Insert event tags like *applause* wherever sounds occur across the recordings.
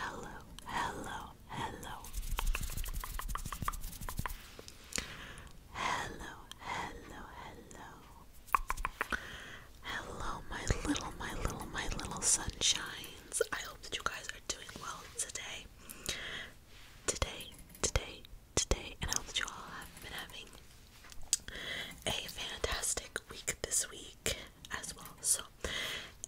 Hello, hello, hello. Hello, hello, hello. Hello, my little, my little, my little sunshines. I hope that you guys are doing well today. Today, today, today, and I hope that you all have been having a fantastic week this week as well. So,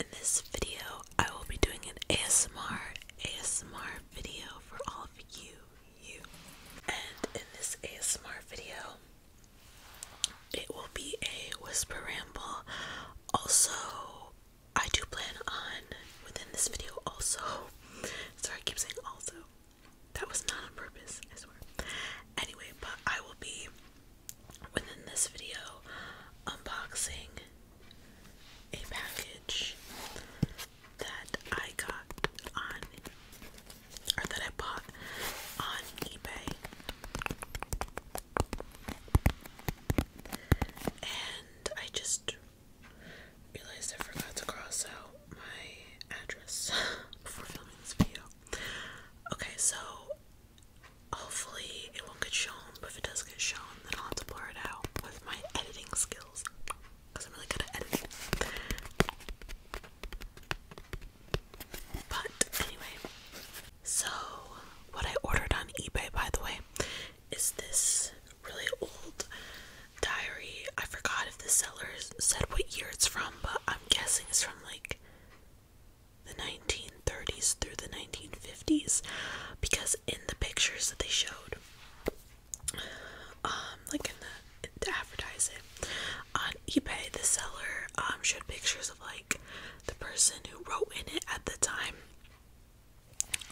in this video, I will be doing an ASMR ASMR video for all of you, you. And in this ASMR video, it will be a whisper ramble. Also, I do plan on within this video also. *laughs* Sorry, I keep saying also. That was not on purpose, Anyway, but I will be within this video unboxing a package that I got on or that I bought on eBay. And I just realized I forgot to cross out my address *laughs* for filming this video. Okay, so Hopefully, it won't get shown, but if it does get shown, then I'll have to blur it out with my editing skills because I'm really good at editing. But anyway, so what I ordered on eBay, by the way, is this really old diary. I forgot if the seller said what year it's from, but I'm guessing it's from like the 1930s through the 1950s because in the pictures that they showed um like in the to on ebay the seller um showed pictures of like the person who wrote in it at the time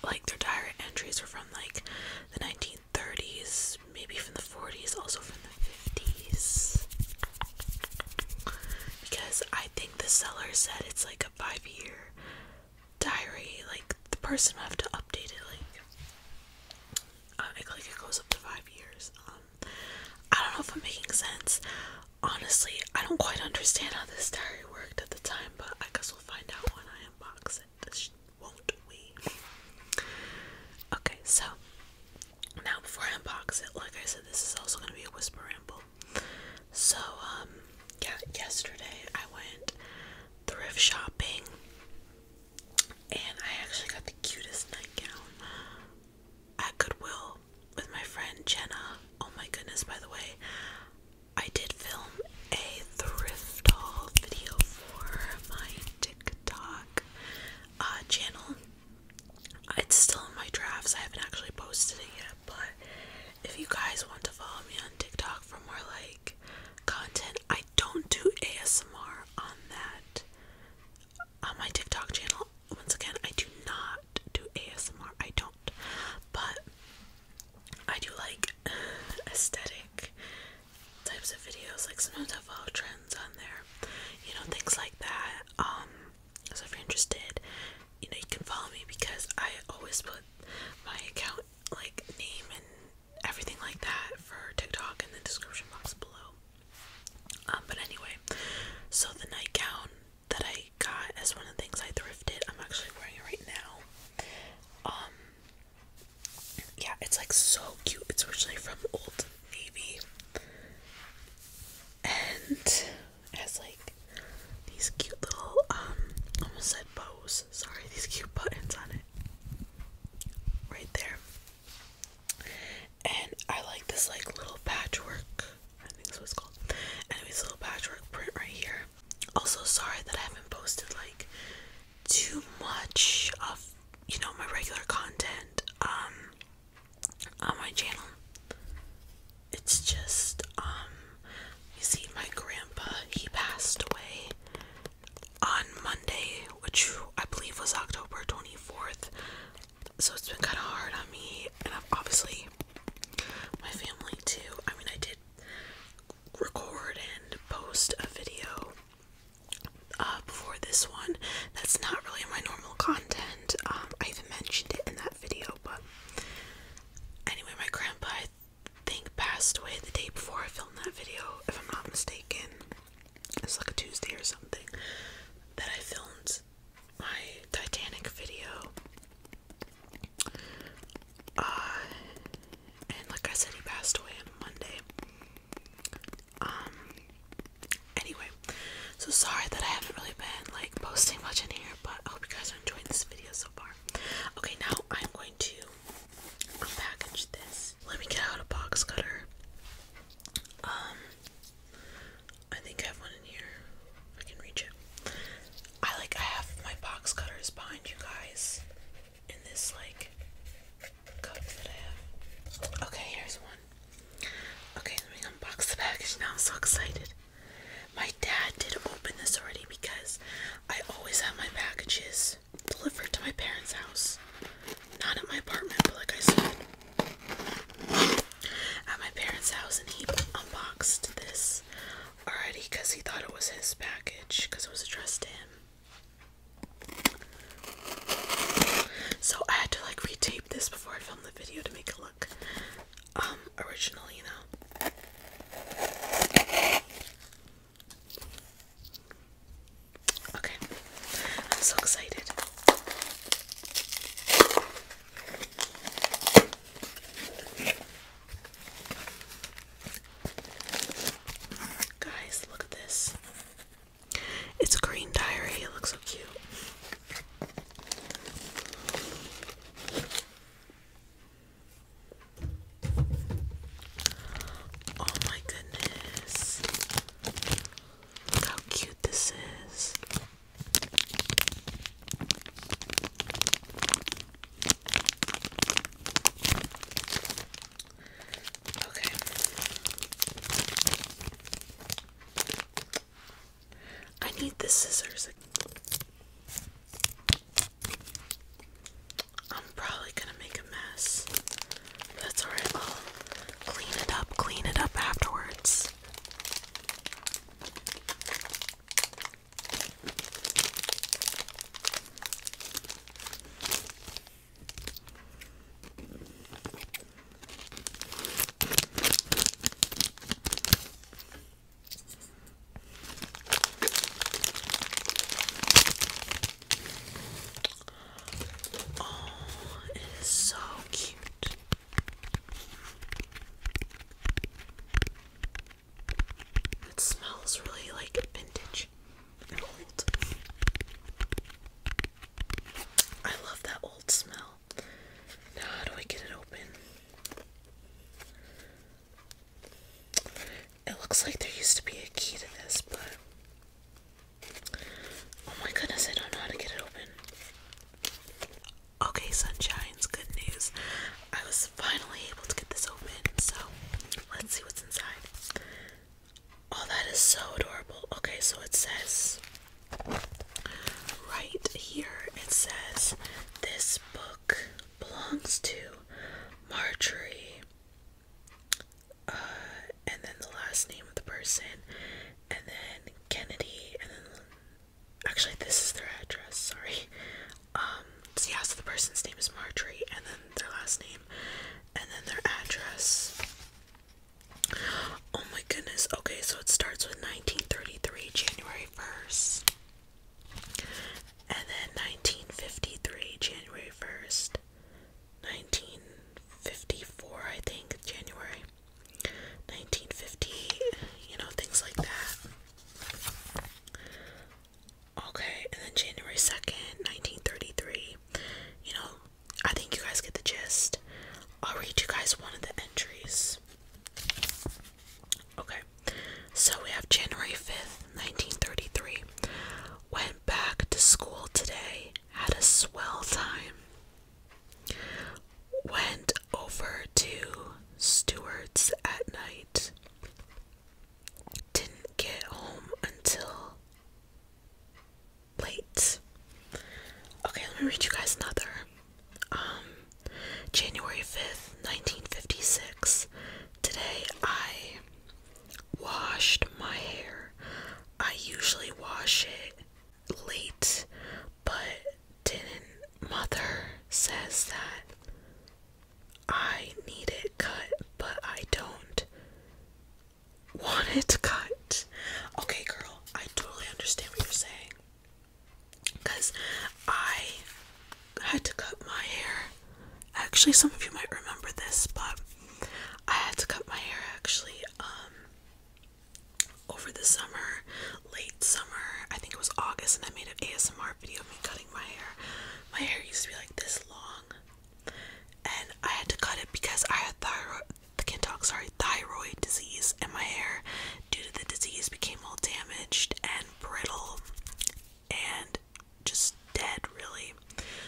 like their diary entries were from like the 1930s maybe from the 40s also from the 50s because I think the seller said it's like a five year diary. Like the person will have to update it. Like uh, it, like it goes up to five years. Um, I don't know if I'm making sense. Honestly, I don't quite understand how this diary worked at the time, but I guess we'll find out when I unbox it. Won't we? Okay, so now before I unbox it, like I said, this is also going to be a whisper ramble. So, um, yeah, yesterday I went thrift shopping and I actually got the cutest nightgown at Goodwill with my friend Jenna. Oh my goodness, by the way, I did film a thrift haul video for my TikTok uh, channel. It's still in my drafts. I haven't actually posted it yet, but if you guys want to follow me on TikTok for more like content, I don't do ASMR on that on my TikTok channel. Once again, I do not do ASMR. I don't. But I do like *sighs* aesthetic types of videos. Like sometimes I follow trends on there. You know, things like that. Um so if you're interested, you know you can follow me because I always put my account like name and everything like that for TikTok in the description box below. Um, but anyway, so the nightgown that I got as one of the things I thrifted, I'm actually wearing it right now. Um, yeah, it's like so cute. It's originally from Old Navy, and has like these cute little um almost said bows. Sorry, *laughs* these cute buttons on it. Right there. And I like this like little patchwork. I think that's what it's called. Anyways, little patchwork print right here. Also sorry that I haven't posted like too much of you know my regular content. Um on my channel. It's just, um, you see, my grandpa, he passed away on Monday, which I believe was October 24th. So it's been kind of hard on me, and I've obviously my family too. I mean, I did record and post a video uh, before this one that's not really my normal content. Um, I even mentioned it in that video, but anyway, my grandpa I think passed away the day before I filmed that video, if I'm not mistaken. It's like a Tuesday or something that I filmed my Titanic video. Uh, and like I said, he passed away on Monday. Um, anyway, so sorry that I haven't really been like posting much in here, but I hope you guys enjoying this video so far. Okay, now I'm going to unpackage this. Let me get out a box cutter. Um, I think I have one in here. I can reach it. I like I have my box cutters behind you guys in this like cup that I have. Okay, here's one. Okay, let me unbox the package now. I'm so excited. My dad did open this already because I always have my packages delivered to my parents' house. Not at my apartment, but like I said, at my parents' house, and he unboxed this already because he thought it was his package because it was addressed to him. So I had to like re-tape this before I filmed the video to make it look um you know. Okay. I'm so excited. Guys, look at this. It's a green diary. It looks so cute. Oh my goodness. how cute this is. Okay. I need the scissors. I'm probably gonna make a mess. That's alright, I'll clean it up, clean it up afterwards. Oh, it is so cute. It smells really like vintage and old. I love that old smell. Now, how do I get it open? It looks like there used to be a key to this, but. Oh my goodness, I don't know how to get it open. Okay, Sunshine's good news. I was finally able to get this open, so let's see what's inside. Oh, that is so adorable. Okay, so it says right here, it says this this book belongs to Marjorie, uh, and then the last name of the person, and then Kennedy, and then actually, this is their address, sorry. Um, so yeah, so the person's name is Marjorie, and then their last name, and then their address. Oh my goodness, okay, so it starts with 1933, January 1st. And then 1953, January 1st, 1954, I think, January 1950, you know, things like that. Okay, and then January 2nd, 1933. You know, I think you guys get the gist. I'll read you guys one of the entries. Okay, so we have January 5th, 1933. Went back to school today, had a swell time. Went over to Stewart's at night. Didn't get home until late. Okay, let me read you guys another. Um, January 5th, 1956. Today I washed my hair. I usually wash it late, but didn't. Mother says that I need it cut, but I don't want it *laughs* cut. Okay, girl, I totally understand what you're saying because I had to cut my hair. Actually, some of you might remember this, but I had to cut my hair actually um, over the summer, late summer. I think it was August, and I made an ASMR video of me cutting my hair. My hair used to be like this long, and I had to cut it because I had thyroid. I can't Sorry, thyroid disease, and my hair, due to the disease, became all damaged, and and brittle and just dead, really.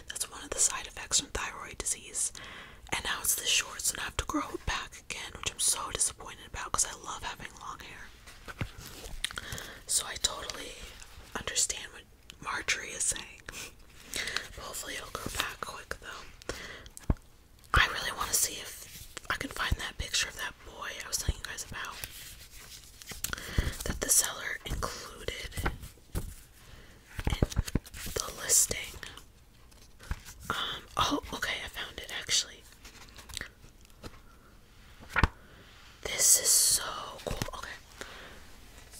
That's one of the side effects from thyroid disease. And now it's this short, so I have to grow it back again, which I'm so disappointed about because I love having long hair. So I totally understand what Marjorie is saying. *laughs* hopefully, it'll grow back quick though. I really want to see if I can find that picture of that boy I was telling you guys about that the seller included in the listing. Um, oh, okay, I found it actually. This is so cool. Okay,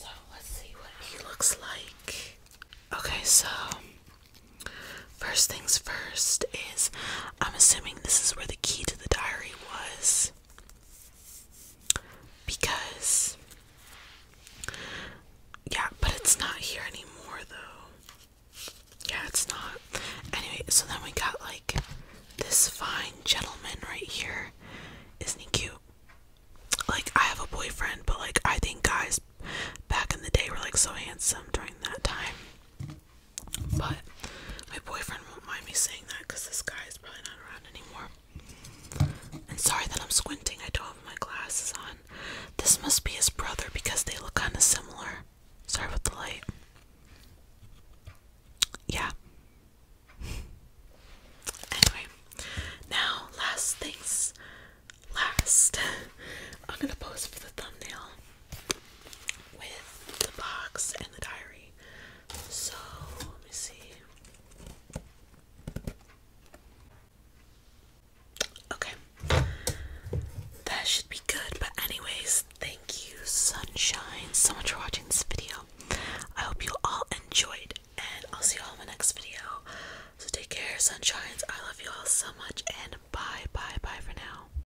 so let's see what he looks like. Okay, so First things first is I'm assuming this is where the key to the diary was because yeah, but it's not here anymore though. Yeah, it's not. Anyway, so then we got like this fine gentleman right here. Isn't he cute? Like I have a boyfriend, but like I think guys back in the day were like so handsome during that time. But my boyfriend won't mind me saying that because this guy is probably not around anymore. And sorry that I'm squinting, I don't have my glasses on. This must be his brother because they look kind of similar. Sorry about the light. Yeah. *laughs* Anyway, now last things last. *laughs* I'm gonna pose for the thumbnail with the box and the diary. So, let me see. Okay. That should be good. But, anyways, thank you, Sunshine, so much for watching this video. I hope you all enjoyed, and I'll see you all in my next video. So, take care, Sunshines. I love you all so much, and bye, bye, bye for now.